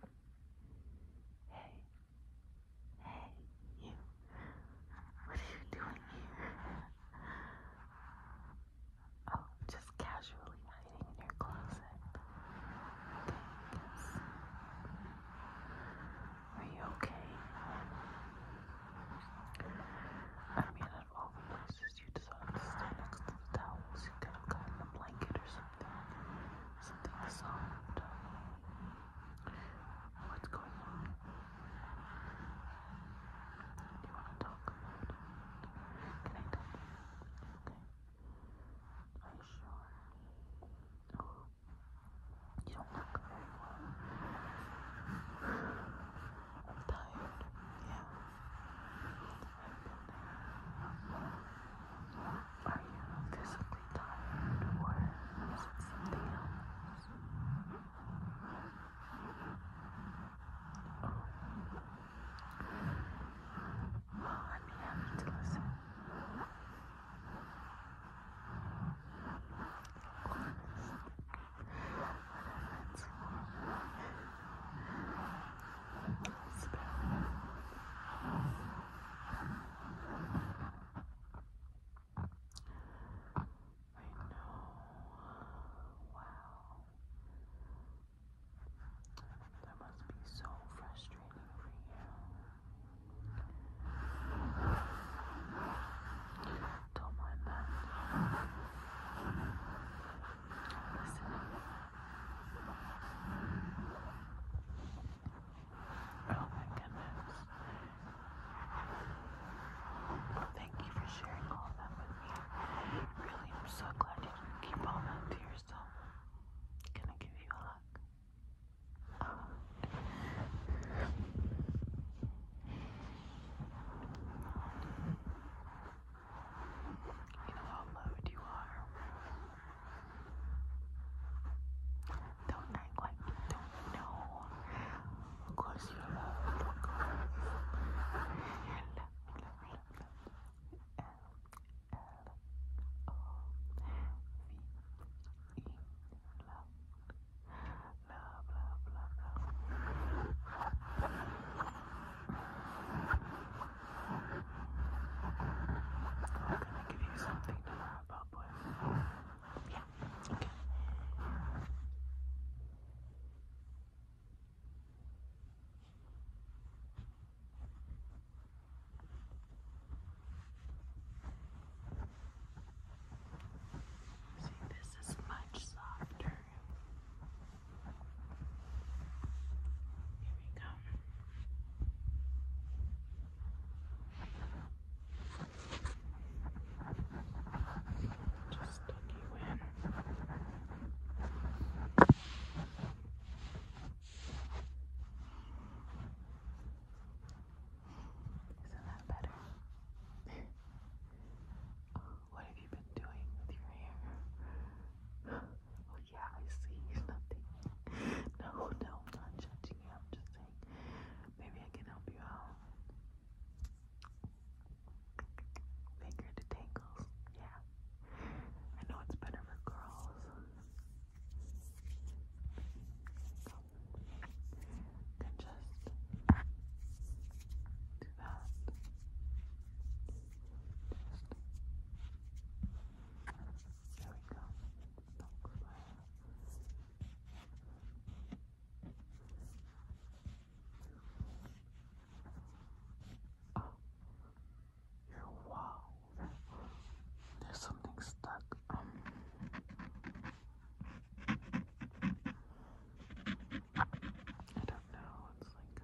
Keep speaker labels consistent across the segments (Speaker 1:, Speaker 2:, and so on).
Speaker 1: Hey, hey, you. What are you doing here? Oh, just casually hiding in your closet. Are you okay? I mean, out of all the places you decided to stay next to the towels, you could have gotten a blanket or something something, something soft. What's going on? You want to talk Can I talk Are you sure? Oh, you don't look very well. I'm tired. Yeah. Are you physically tired or is it something else? Oh. I'd be happy to listen. Of course. What a Wow. That must be so frustrating for you. Don't mind that. Listen. Oh my goodness. Thank you for sharing all of that with me. Really, I'm so glad you keep all that to yourself. Can I give you a hug? You know how loud you are. Don't act like you don't know. you're I'm gonna give you something to wrap up with. Yeah, okay. See, this is much softer. Here we go. Just stick you in. Isn't that better? oh, what have you been doing with your hair? Oh, yeah, I see. Nothing. No, no, I'm not judging you. I'm just saying maybe I can help you out. Finger to tangles. Yeah. I know it's better for girls. Can just do that. There we go. Oh, you're wow. There's something stuck. Um. I don't know. It's like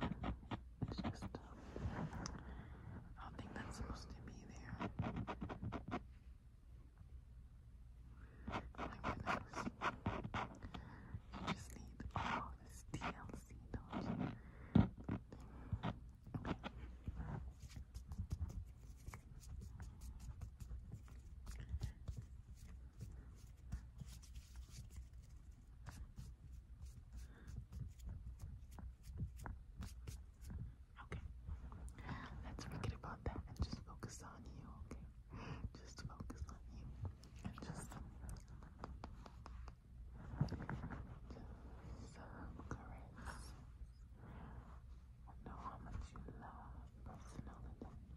Speaker 1: um, it's just um, I don't think that's supposed to be there. My goodness. You just need all this DLC, Okay. Let's forget about that and just focus on you, okay? Just focus on you. And just, just I know how much you love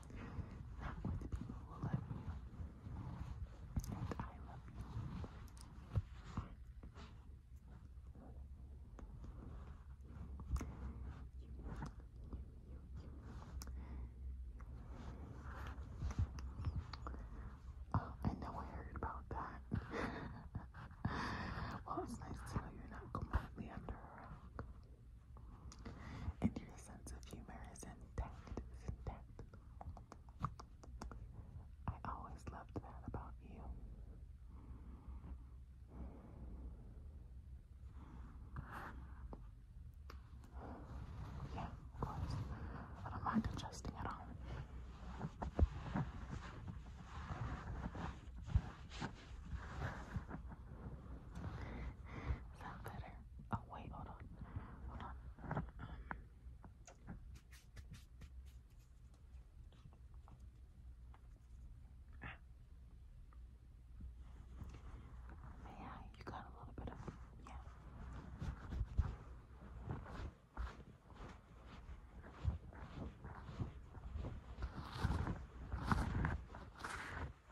Speaker 1: not oh, you. I know I heard about that. well, it's nice to know you're not completely under a rock. And your sense of humor is intact, I always loved that about you. Yeah, of I don't mind adjusting at all. Is better? Oh wait, hold on. Hold on. yeah, you got a little bit of yeah. Yeah,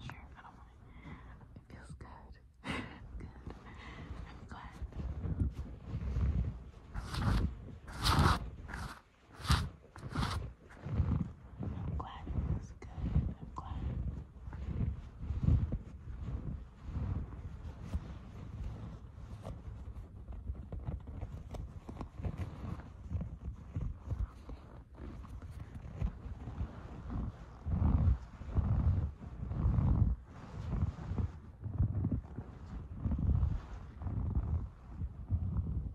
Speaker 1: sure. I don't mind. It feels good. good. I'm glad. I'm glad it was good. I'm glad. Thank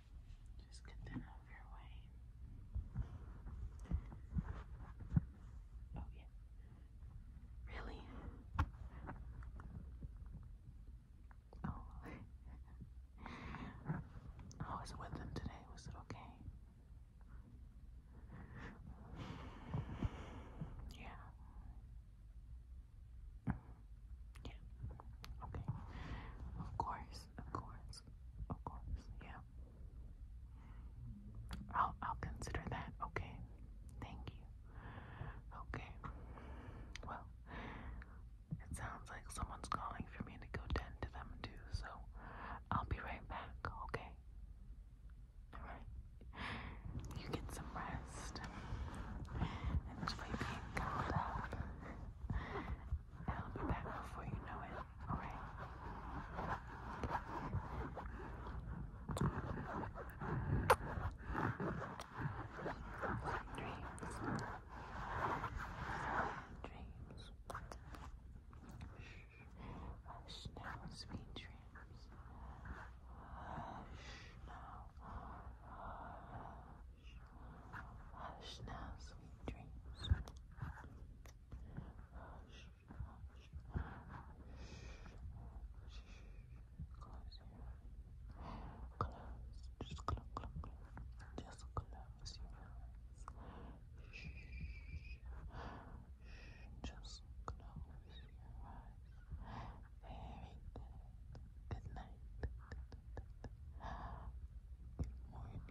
Speaker 1: Just get that out of your way. Oh, yeah. Really? Oh. I was with them today. Was it okay? Yeah. Yeah. Okay. Of course of course, of course, yeah. I'll I'll consider that, okay. Thank you. Okay. Well, it sounds like someone's calling for me to go tend to them too, so I'll be right back, okay? Alright. You get some rest. Enjoy being called up. I'll be back before you know it, alright? Dreams. Dreams. Hush now, sweet dreams. Hush now. Hush now, sweet dreams. Close your eyes. just close, close, close. Just close your eyes. Just close your eyes. Good night. Good morning.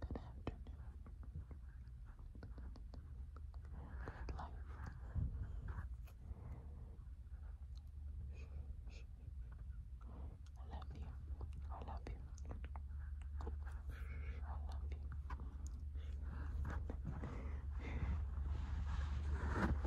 Speaker 1: Good afternoon. Good life. I love you. I love you. I love you.